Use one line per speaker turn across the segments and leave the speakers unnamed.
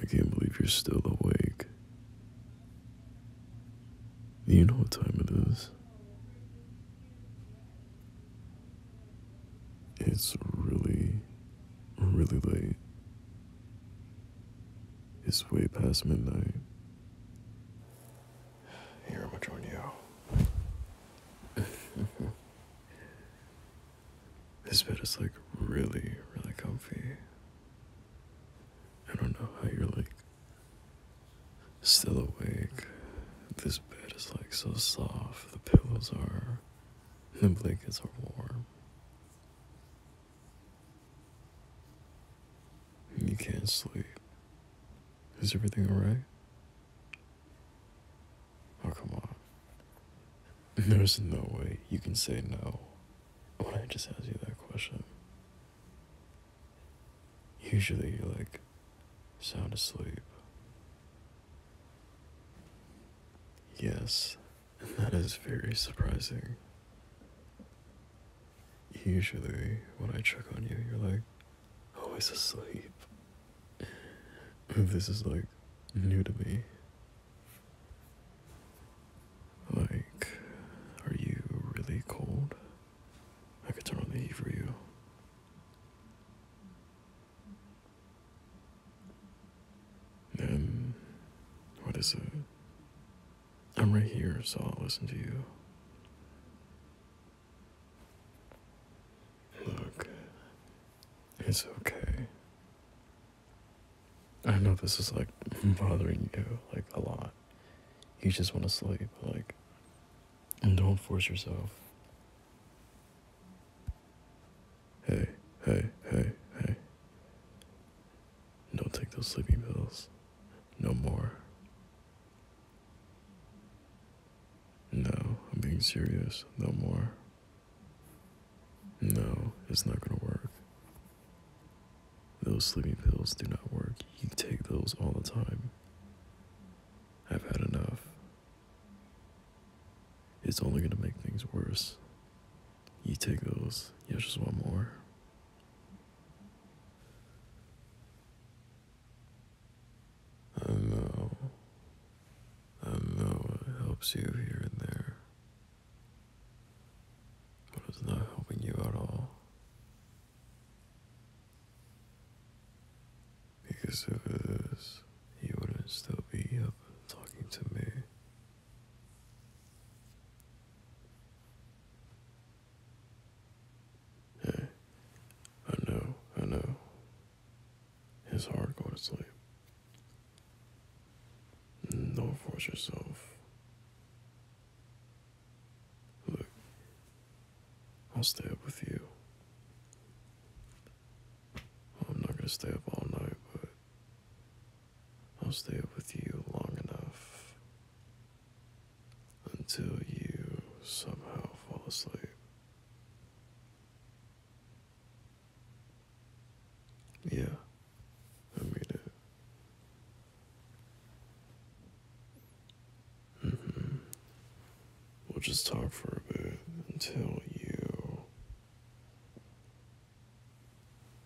I can't believe you're still awake. You know what time it is. It's really, really late. It's way past midnight. Here, I'm gonna join you. This bed is like really, really comfy. I don't know how you're like still awake. This bed is like so soft. The pillows are, the blankets are warm. You can't sleep. Is everything alright? Oh, come on. There's no way you can say no when I just ask you that question. Usually you're like sound asleep. Yes, and that is very surprising. Usually when I check on you, you're like always oh, asleep. This is like new to me. Like, are you really cold? I could turn on the heat for you. Then, what is it? I'm right here, so I'll listen to you. Look, it's okay. I know this is like bothering you like a lot. You just want to sleep, like, and don't force yourself. Hey, hey, hey, hey. Don't take those sleeping pills. No more. No, I'm being serious. No more. No, it's not gonna work. Those sleeping pills do not work. You take those all the time. I've had enough. It's only gonna make things worse. You take those. You just want more. I know. I know it helps you here and there. But it's not helping you at all. Because if it is, you wouldn't still be up talking to me. Hey. I know, I know. It's hard going to sleep. Don't force yourself. Look, I'll stay up with you. I'm not gonna stay up all night, but I'll stay up with you long enough until you somehow fall asleep. Yeah, I mean it. Mm-hmm. We'll just talk for a bit until you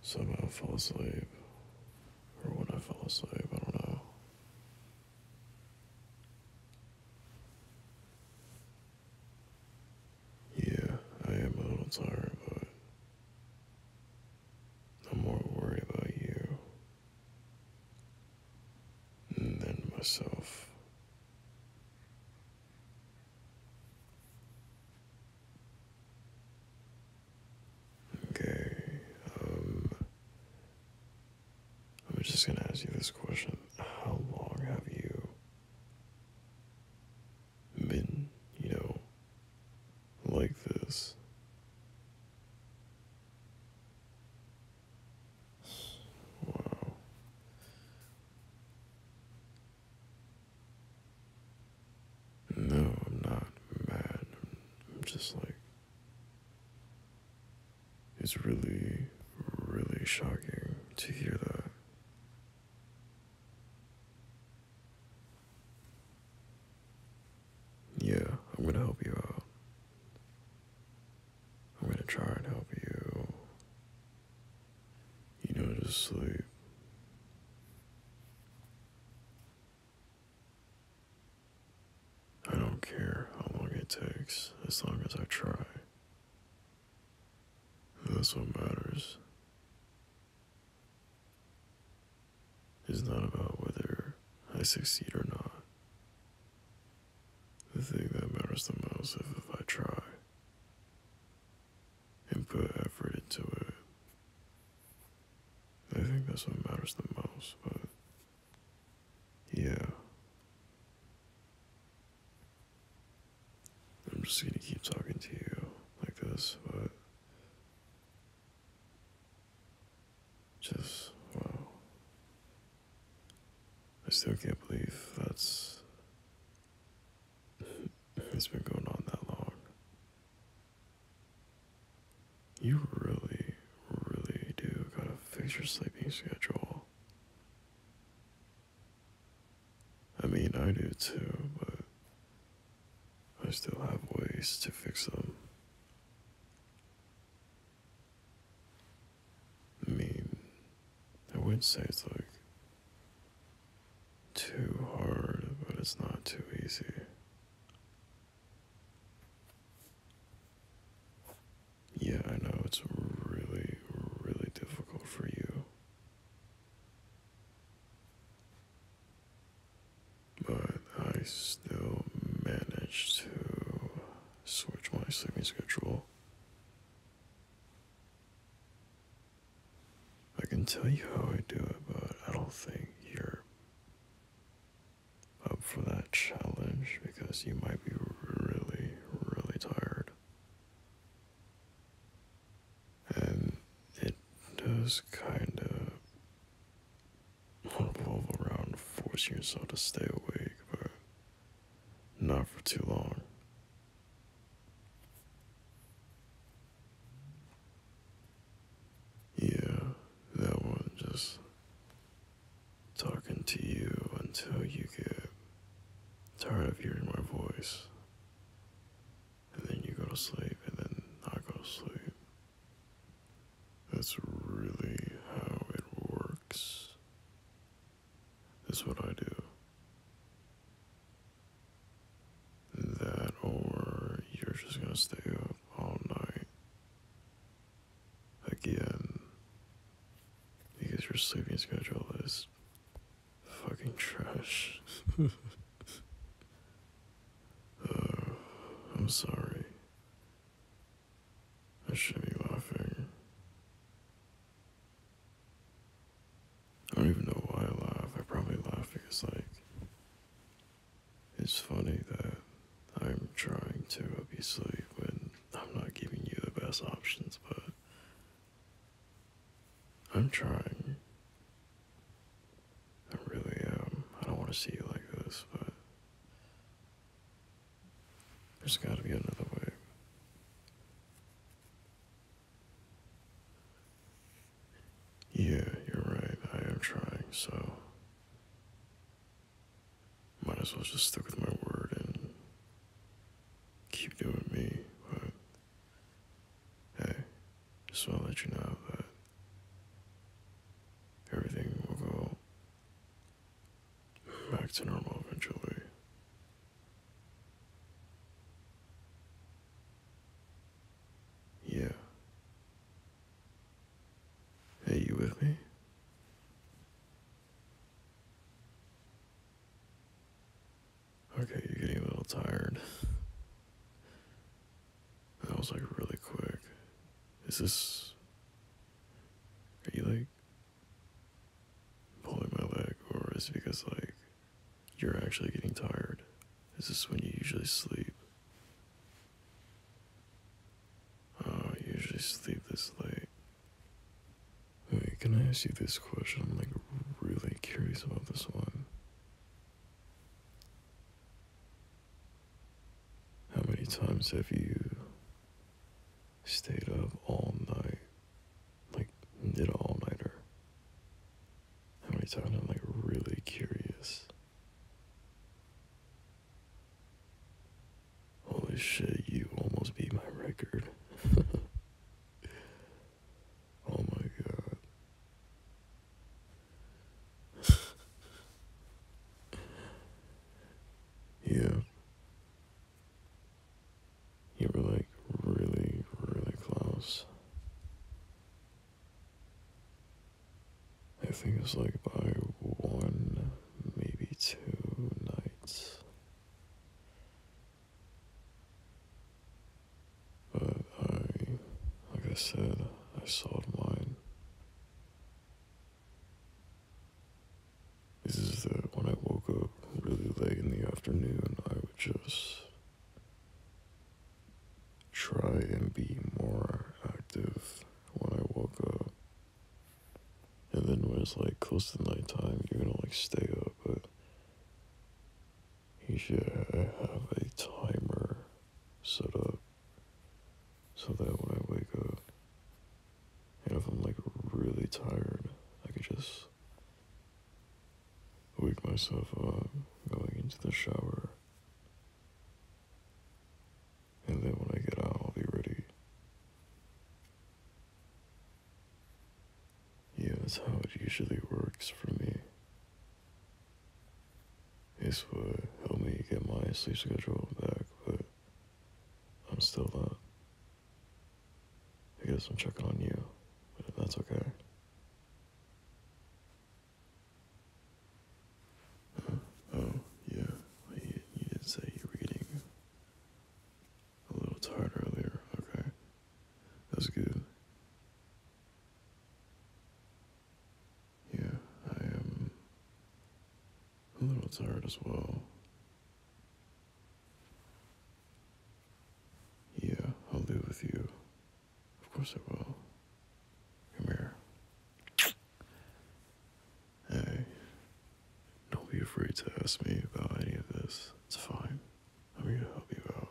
somehow fall asleep. Or when I fall asleep, I don't know. Yeah, I am a little tired, but I'm more worried about you than myself. Okay, um, I'm just going to ask you this question. How long have you been, you know, like this? Wow. No, I'm not mad. I'm just like. It's really, really shocking to hear that. Yeah, I'm going to help you out. I'm going to try and help you, you know, to sleep. I don't care how long it takes as long as I try. That's what matters. It's not about whether I succeed or not. The thing that matters the most is if I try and put effort into it. I think that's what matters the most, but yeah. I'm just gonna keep talking to you like this, but just wow. I still can't believe that's it's been going on that long. You really, really do gotta fix your sleeping schedule. I mean, I do too, but I still have ways to fix them. I mean, I wouldn't say it's like too hard, but it's not too easy. Yeah, I know it's really, really difficult for you. But I still managed to switch my sleeping schedule. I can tell you how I do it, but I don't think you're up for that challenge because you might be really, really tired. And it does kind of revolve around forcing yourself to stay awake, but not for too long. Yeah, that one just talking to you until you get tired of hearing my voice. And then you go to sleep, and then I go to sleep. That's really how it works. That's what I do. That or you're just gonna stay up all night again because your sleeping schedule is fucking trash. Uh, I'm sorry. I should be laughing. I don't even know why I laugh. I probably laugh because, like, it's funny that I'm trying to help you sleep, and I'm not giving you the best options, but I'm trying. I really am. I don't want to see you like this, but there's got to be another way. Yeah, you're right. I am trying, so. Might as well just stick with my word and keep doing me, but. Hey, just want to let you know that everything will go back to normal eventually. Yeah. Are you with me? Okay, you're getting a little tired. That was like really quick. Is this. Are you like. pulling my leg, or is it because like. You're actually getting tired. Is this when you usually sleep? Oh, I usually sleep this late. Wait, can I ask you this question? I'm like really curious about this one. How many times have you stayed up all night? Like, did an all nighter? How many times I'm like really curious. Holy shit, you almost beat my record. oh my god. yeah. You were like really, really close. I think it's like by one, maybe two nights. But I, like I said, I sold mine. This is that when I woke up really late in the afternoon, I would just try and be more active when I wake up. And then when it's like close to nighttime, you're gonna like stay up, but you should have a timer set up so that when I wake up, and if I'm like really tired, I could just wake myself up going into the shower. And then when I get out, I'll be ready. Yeah, that's how it usually works for me. It's what help me get my sleep schedule back, but I'm still not I guess I'm checking on you, but that's okay. Oh, yeah, well, you, you did say you were getting a little tired earlier. Okay, that's good. Yeah, I am a little tired as well. Yeah, I'll live with you. Of course I will. Come here. Hey, don't be afraid to ask me about any of this. It's fine. I'm here to help you out.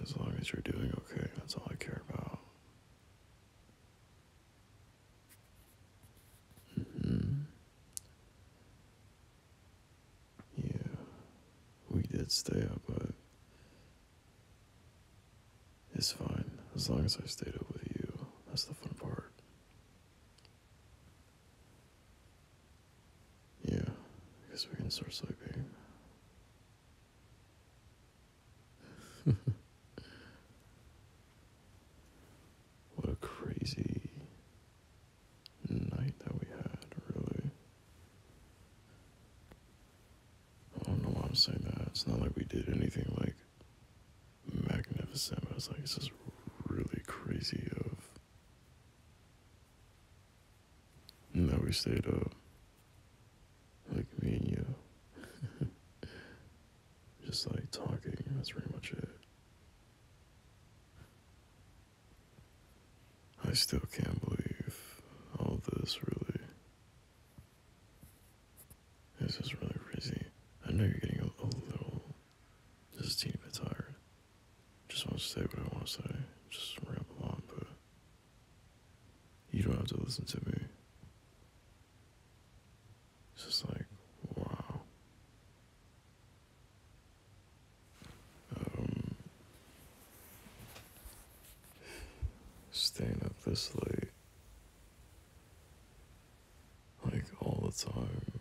as long as you're doing okay, that's all I care about. Mm-hmm. Yeah, we did stay up, but it's fine as long as I stayed up with you. That's the fun part. Yeah, because we can start sleeping. What a crazy night that we had, really. I don't know why I'm saying that. It's not like we did anything like magnificent, but it's like, it's just really crazy of. And that we stayed up. Like me and you. just like talking. That's pretty much it. I still can't believe all this really. This is really crazy. I know you're getting a, a little, just a teeny bit tired. Just want to say what I want to say. Just ramble on, but you don't have to listen to me. It's just like, wow. Um, staying up this late, like all the time,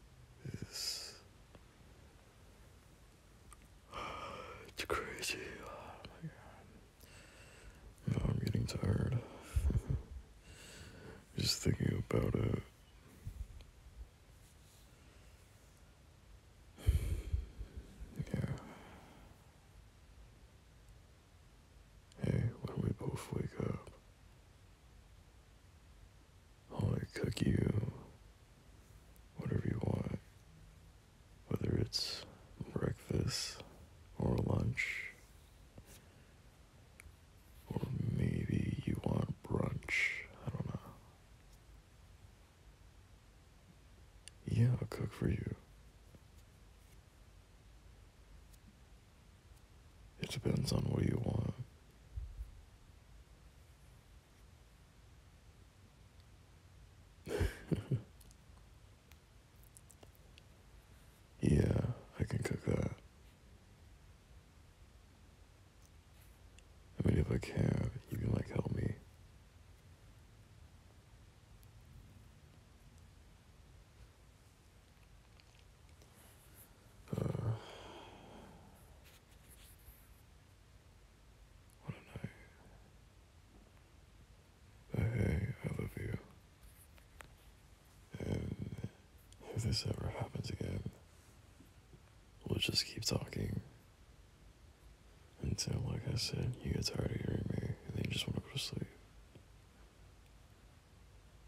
It's crazy. Oh my god. No, I'm getting tired. Just thinking about it. Hey, we both wake up, cook you whatever you want, whether it's breakfast or lunch or maybe you want brunch. I don't know. Yeah, I'll cook for you. It depends on what you want. Yeah, I can cook that. I mean, if I can, you can like help me. Uh, hey, I love you. And if this ever happens again, we'll just keep talking. Until, like I said, you get tired of hearing me and then you just want to go to sleep.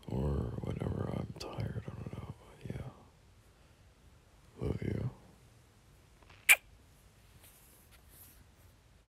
Or whenever I'm tired, I don't know, but yeah. Love you.